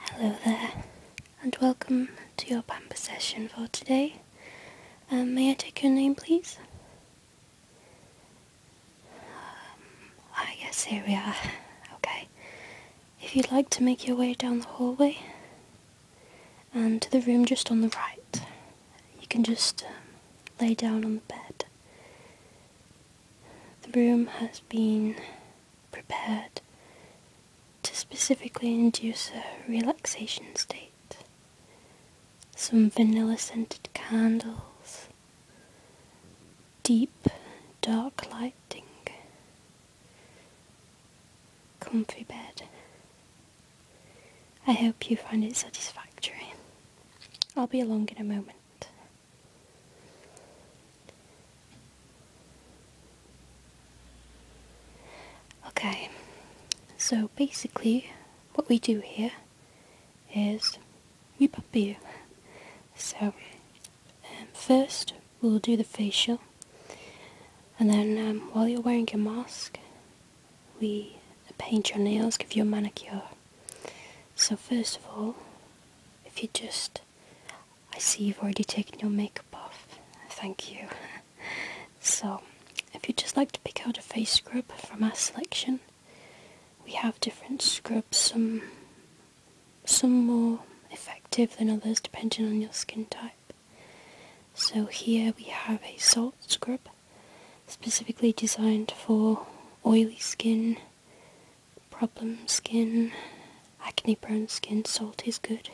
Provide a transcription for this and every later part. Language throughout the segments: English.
Hello there, and welcome to your pamper session for today. Um, may I take your name, please? Um, ah, yes, here we are. Okay. If you'd like to make your way down the hallway and to the room just on the right, you can just um, lay down on the bed. The room has been prepared to specifically induce a relaxation state. Some vanilla scented candles, deep dark lighting, comfy bed. I hope you find it satisfactory. I'll be along in a moment. Okay, so basically what we do here is we pop you. So um, first we'll do the facial and then um, while you're wearing your mask we paint your nails, give you a manicure. So first of all, if you just, I see you've already taken your makeup off, thank you. so if you'd just like to pick out a face scrub from our selection, we have different scrubs, some, some more effective than others depending on your skin type. So here we have a salt scrub specifically designed for oily skin, problem skin, acne prone skin. Salt is good.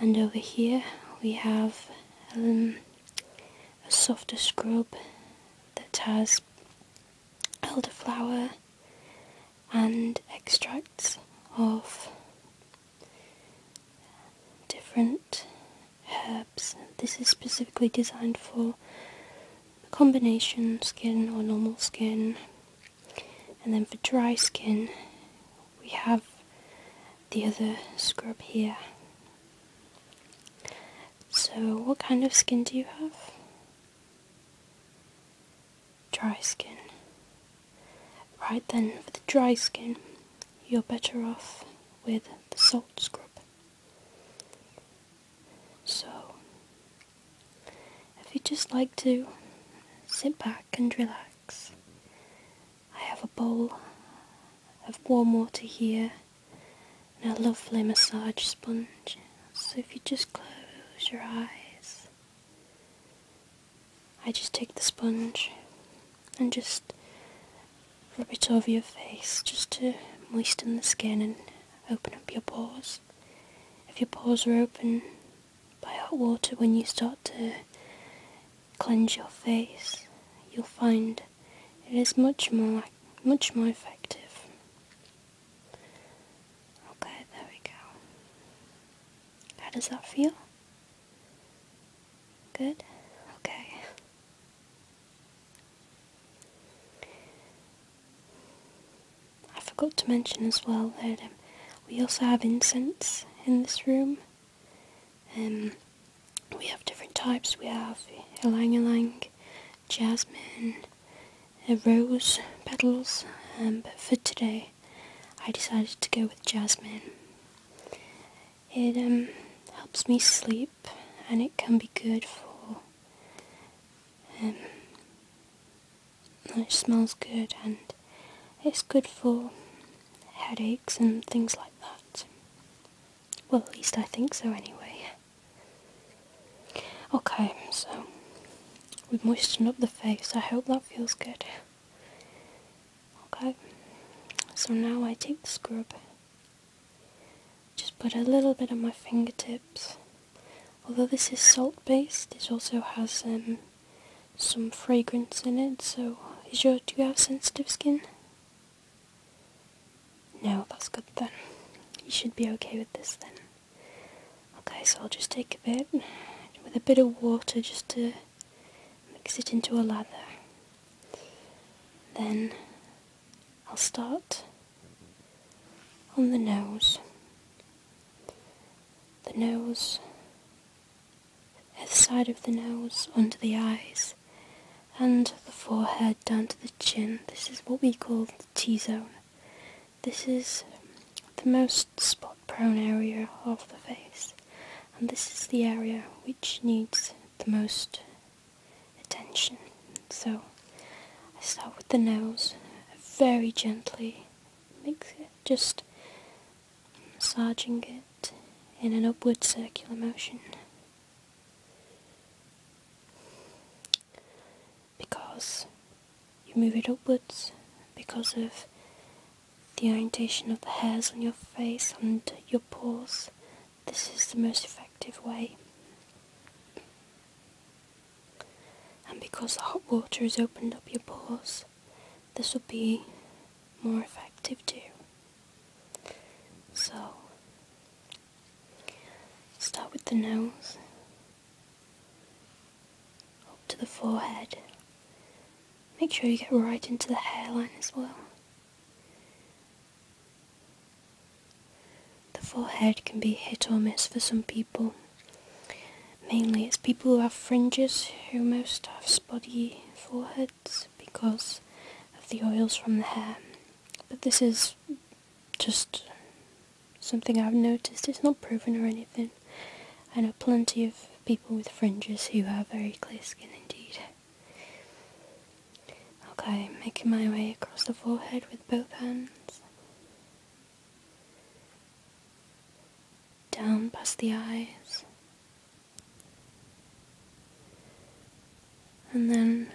And over here we have um, a softer scrub that has elderflower and extracts of different herbs. This is specifically designed for combination skin or normal skin. And then for dry skin, we have the other scrub here. So, what kind of skin do you have? Dry skin. Right then, for the dry skin, you're better off with the salt scrub. So, if you just like to sit back and relax, I have a bowl of warm water here and a lovely massage sponge. So, if you just close your eyes, I just take the sponge and just rub it over your face just to moisten the skin and open up your pores. If your pores are open by hot water when you start to cleanse your face, you'll find it is much more much more effective. Okay, there we go. How does that feel? Good? Okay. I forgot to mention as well that um, we also have incense in this room. Um, we have different types. We have ylang ylang, jasmine, uh, rose petals, um, but for today I decided to go with jasmine. It um, helps me sleep and it can be good for. Um, it smells good and it's good for headaches and things like that. Well, at least I think so anyway. Okay, so we've moistened up the face. I hope that feels good. Okay, so now I take the scrub just put a little bit on my fingertips. Although this is salt based, it also has um, some fragrance in it. So, is your do you have sensitive skin? No, that's good then. You should be okay with this then. Okay, so I'll just take a bit with a bit of water just to mix it into a lather. Then I'll start on the nose. The nose, the side of the nose, under the eyes, and the forehead down to the chin. This is what we call the T-zone. This is the most spot prone area of the face and this is the area which needs the most attention. So I start with the nose very gently, just massaging it in an upward circular motion. Because you move it upwards because of the orientation of the hairs on your face and your pores. This is the most effective way. And because the hot water has opened up your pores, this will be more effective too. So, start with the nose, up to the forehead, Make sure you get right into the hairline as well. The forehead can be hit or miss for some people. Mainly it's people who have fringes who most have spotty foreheads because of the oils from the hair. But this is just something I've noticed. It's not proven or anything. I know plenty of people with fringes who have very clear skin indeed. Okay, making my way across the forehead with both hands. Down past the eyes. And then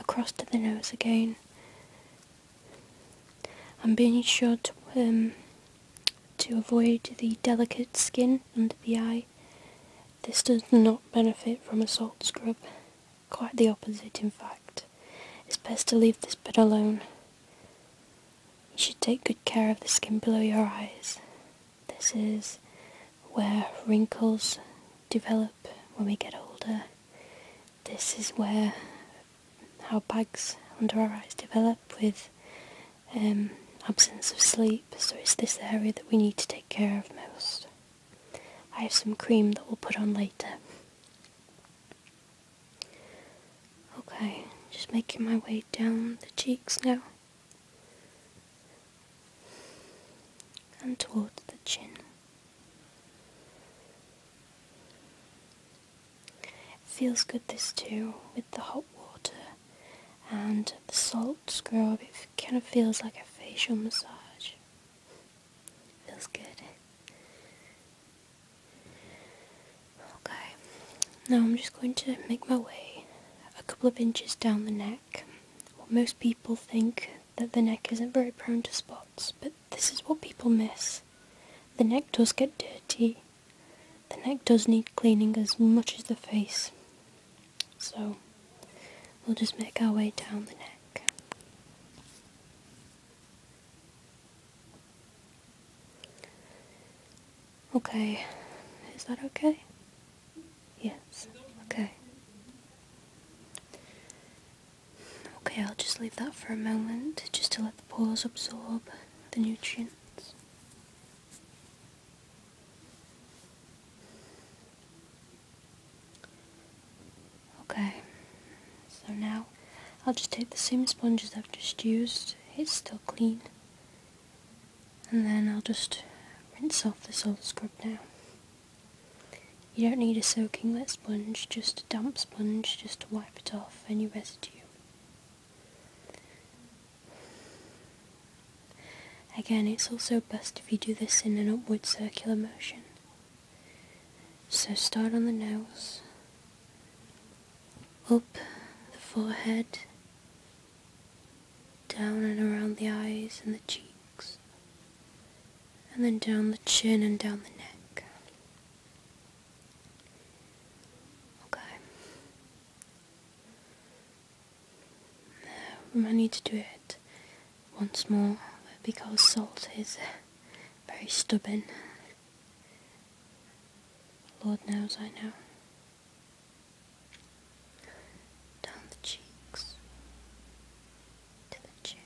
across to the nose again. I'm being sure to um, to avoid the delicate skin under the eye. This does not benefit from a salt scrub, quite the opposite in fact. It's best to leave this bit alone. You should take good care of the skin below your eyes. This is where wrinkles develop when we get older. This is where our bags under our eyes develop with um, absence of sleep, so it's this area that we need to take care of most. I have some cream that we'll put on later. Okay, just making my way down the cheeks now and towards the chin. Feels good this too with the hot water and the salt scrub. It kind of feels like a facial massage. Feels good. Okay, now I'm just going to make my way a couple of inches down the neck. most people think that the neck isn't very prone to spots, but this is what people miss. The neck does get dirty the neck does need cleaning as much as the face, so we'll just make our way down the neck. Okay, is that okay? Yes, okay. Okay, I'll just leave that for a moment just to let the pores absorb the nutrients. Okay, so now I'll just take the same sponge sponges I've just used, it's still clean, and then I'll just rinse off this old scrub now. You don't need a soaking wet sponge, just a damp sponge just to wipe it off any residue. Again, it's also best if you do this in an upward circular motion. So start on the nose, up the forehead, down and around the eyes and the cheeks, and then down the chin and down the neck. Okay. I need to do it once more because salt is very stubborn. Lord knows I know. Down the cheeks, to the chin,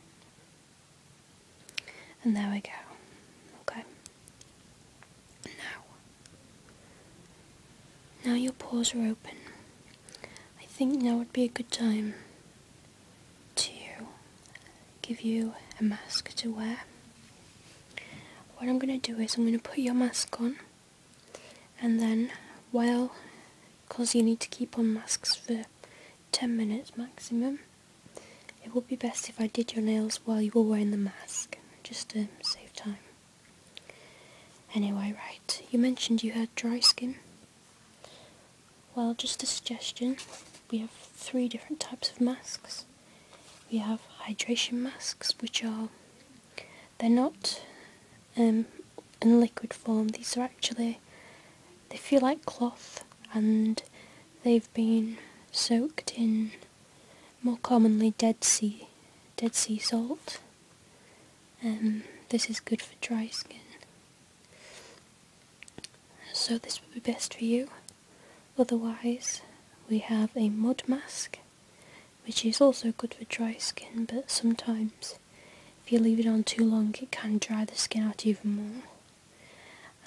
and there we go. Okay. Now. Now your pores are open. I think now would be a good time to give you a mask to wear. What I'm going to do is I'm going to put your mask on and then while because you need to keep on masks for 10 minutes maximum it would be best if I did your nails while you were wearing the mask, just to save time. Anyway, right, you mentioned you had dry skin. Well, just a suggestion. We have three different types of masks. We have hydration masks, which are, they're not um, in liquid form. These are actually, they feel like cloth and they've been soaked in more commonly Dead Sea, Dead Sea salt. And um, this is good for dry skin. So this would be best for you. Otherwise, we have a mud mask, which is also good for dry skin, but sometimes if you leave it on too long, it can dry the skin out even more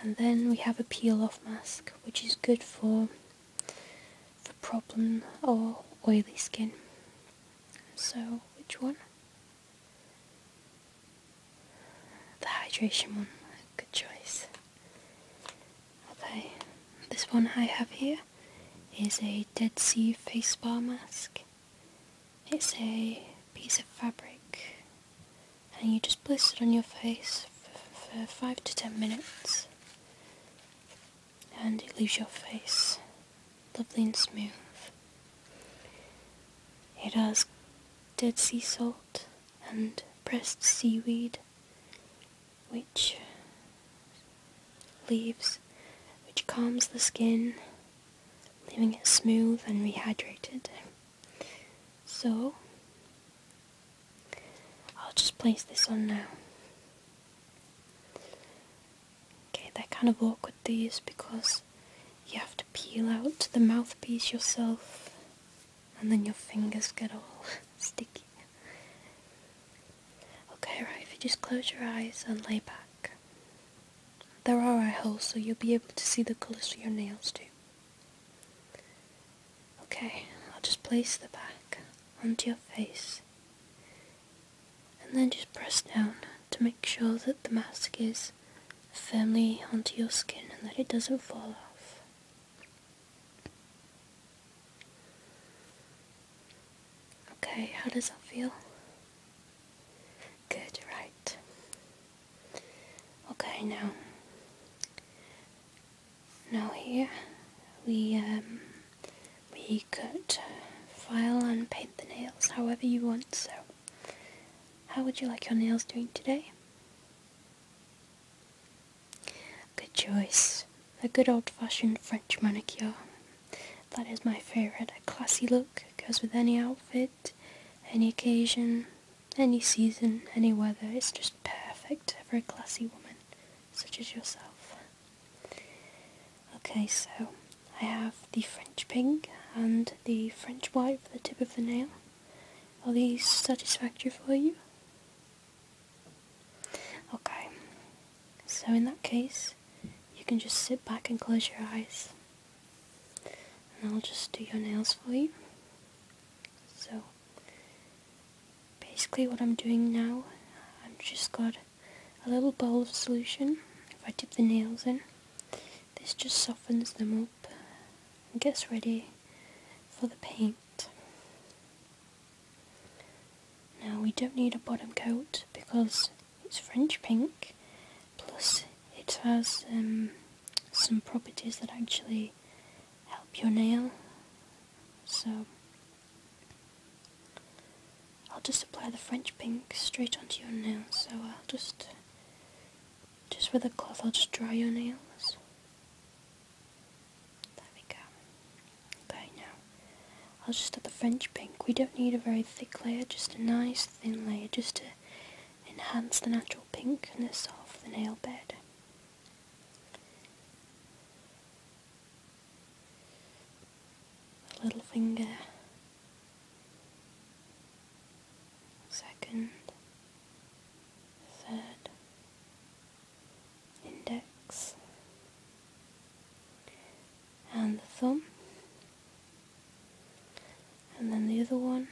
and then we have a peel off mask which is good for for problem or oily skin so which one the hydration one good choice okay this one I have here is a Dead Sea face bar mask it's a piece of fabric and you just place it on your face for, 5 to 10 minutes and it leaves your face lovely and smooth. It has dead sea salt and pressed seaweed which leaves which calms the skin leaving it smooth and rehydrated. So I'll just place this on now. Okay, they're kind of awkward these because you have to peel out the mouthpiece yourself and then your fingers get all sticky. Okay, right, if you just close your eyes and lay back. There are eye holes so you'll be able to see the color for your nails too. Okay, I'll just place the back onto your face and then just press down to make sure that the mask is firmly onto your skin and that it doesn't fall off. Okay, how does that feel? Good, right. Okay, now, now here we um, we could uh, file and paint the nails however you want. So, how would you like your nails doing today? Good choice. A good old-fashioned French manicure. That is my favourite. A classy look goes with any outfit. Any occasion, any season, any weather. It's just perfect for a classy woman such as yourself. Okay, so I have the French pink and the French white for the tip of the nail. Are these satisfactory for you? Okay, so in that case, you can just sit back and close your eyes. And I'll just do your nails for you. So, basically what I'm doing now, I've just got a little bowl of solution. If I dip the nails in, this just softens them up and gets ready for the paint. Now we don't need a bottom coat because it's French pink Plus, it has um, some properties that actually help your nail. So, I'll just apply the French pink straight onto your nail. So I'll just, just with a cloth, I'll just dry your nails. There we go. Okay, now I'll just add the French pink. We don't need a very thick layer, just a nice thin layer, just to enhance the natural pinkness of the nail bed. little finger, second, third, index, and the thumb. And then the other one,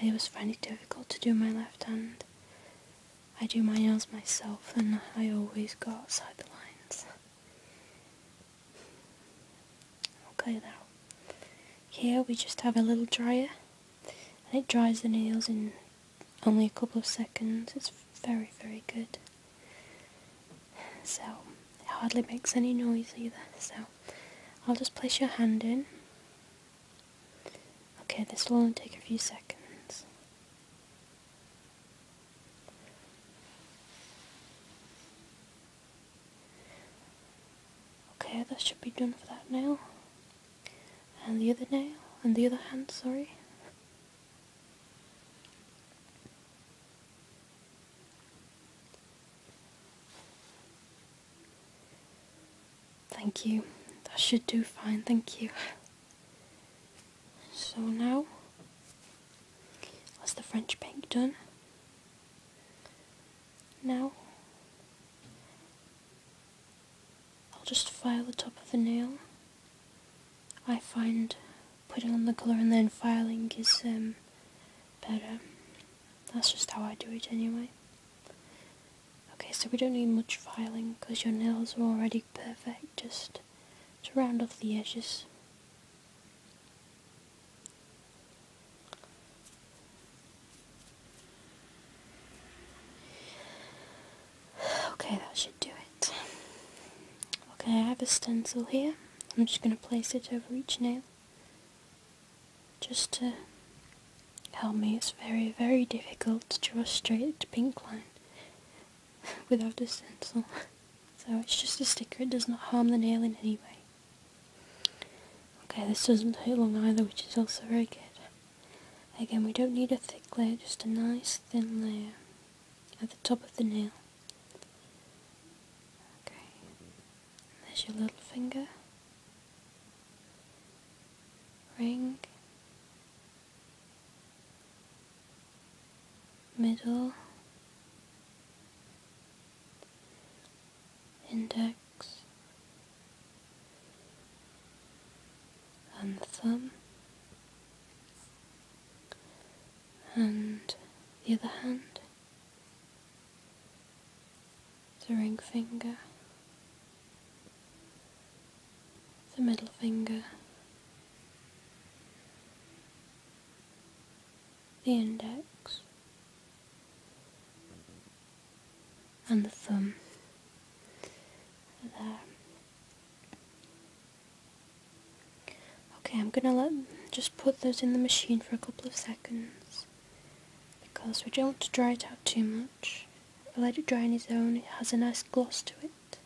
I always find it difficult to do my left hand. I do my nails myself and I always go outside the lines. Okay now, here we just have a little dryer and it dries the nails in only a couple of seconds. It's very very good. So it hardly makes any noise either. So I'll just place your hand in. Okay, this will only take a few seconds. Okay, that should be done for that nail. And the other nail, and the other hand, sorry. Thank you. That should do fine, thank you. So now, that's the French pink done. Now, I'll just file the top of the nail. I find putting on the colour and then filing is um, better. That's just how I do it anyway. Okay, so we don't need much filing because your nails are already perfect, just to round off the edges. Okay, that should do it. Okay, I have a stencil here. I'm just going to place it over each nail. Just to help me. It's very, very difficult to draw a straight pink line without a stencil. So it's just a sticker. It does not harm the nail in any way. Okay, this doesn't take long either, which is also very good. Again, we don't need a thick layer, just a nice thin layer at the top of the nail. Okay, there's your little finger, ring, middle, index, and the thumb and the other hand, the ring finger, the middle finger, the index, and the thumb there. Okay, I'm gonna let just put those in the machine for a couple of seconds because we don't want to dry it out too much. let it dry on its own, it has a nice gloss to it.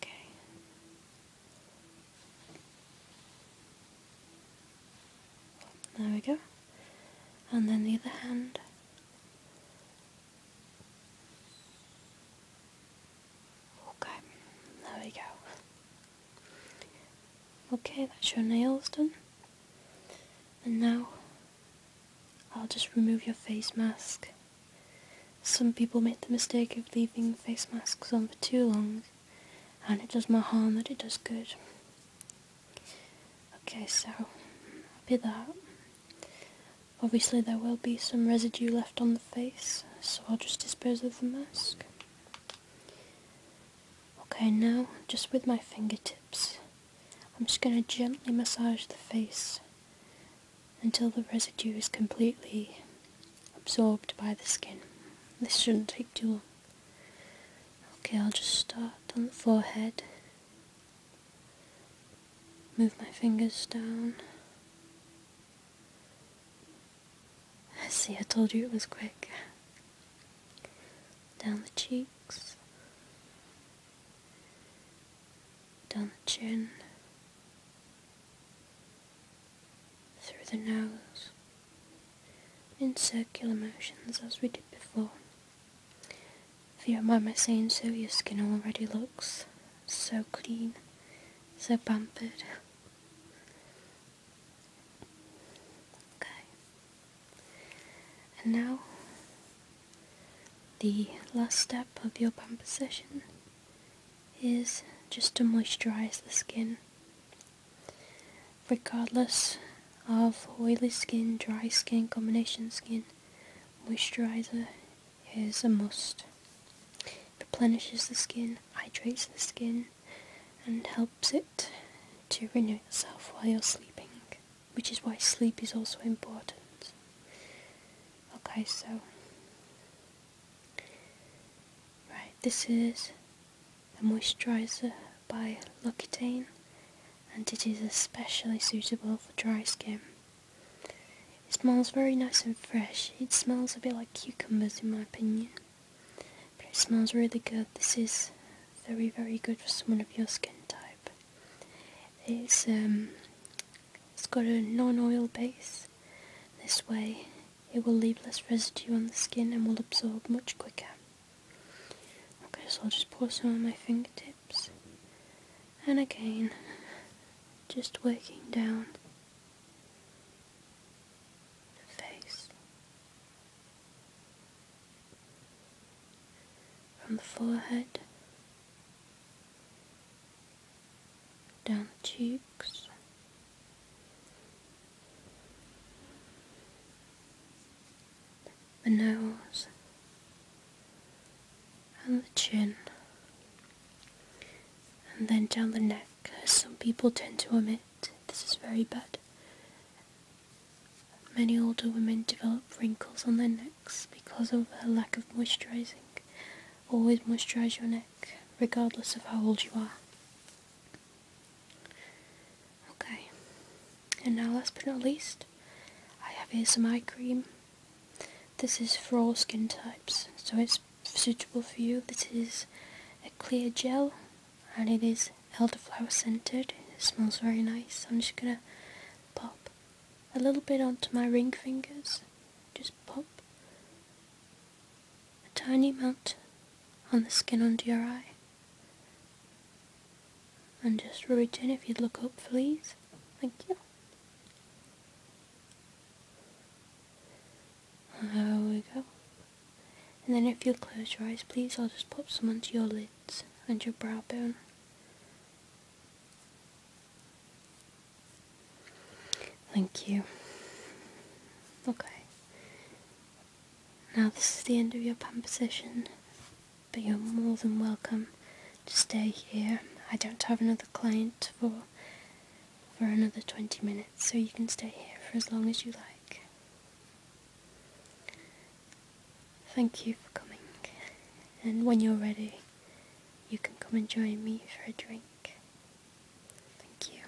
Okay. There we go. And then the other hand. Okay, there we go. Okay, that's your nails done. And now I'll just remove your face mask. Some people make the mistake of leaving face masks on for too long and it does more harm than it does good. Okay, so, be that. Obviously there will be some residue left on the face, so I'll just dispose of the mask. Okay, now, just with my fingertips, I'm just going to gently massage the face until the residue is completely absorbed by the skin. This shouldn't take too long. Okay, I'll just start on the forehead. Move my fingers down. I see, I told you it was quick. Down the cheeks. Down the chin. Through the nose. In circular motions as we did before. If you don't mind my saying so, your skin already looks so clean, so pampered. Okay. And now, the last step of your pamper session is just to moisturize the skin. Regardless of oily skin, dry skin, combination skin, Moisturizer is a must. It Replenishes the skin, hydrates the skin, and helps it to renew itself while you're sleeping, which is why sleep is also important. Okay, so. Right, this is a moisturizer by L'Occitane and it is especially suitable for dry skin. It smells very nice and fresh. It smells a bit like cucumbers in my opinion. But it smells really good. This is very very good for someone of your skin type. It's um it's got a non-oil base. This way it will leave less residue on the skin and will absorb much quicker. Okay, so I'll just pour some on my fingertip and again just working down the face from the forehead down the cheeks the nose, and the chin, and then down the neck, as some people tend to omit. This is very bad. Many older women develop wrinkles on their necks because of a lack of moisturizing. Always moisturize your neck, regardless of how old you are. Okay. And now last but not least, I have here some eye cream. This is for all skin types, so it's suitable for you. This is a clear gel and it is elderflower scented. It smells very nice. I'm just gonna pop a little bit onto my ring fingers. Just pop a tiny amount on the skin under your eye. And just reach in if you'd look up, please. Thank you. There we go. And then if you'll close your eyes, please, I'll just pop some onto your lids and your brow bone. Thank you. Okay. Now, this is the end of your pump but you're more than welcome to stay here. I don't have another client for for another 20 minutes, so you can stay here for as long as you like. Thank you for coming, and when you're ready, you can come and join me for a drink. Thank you.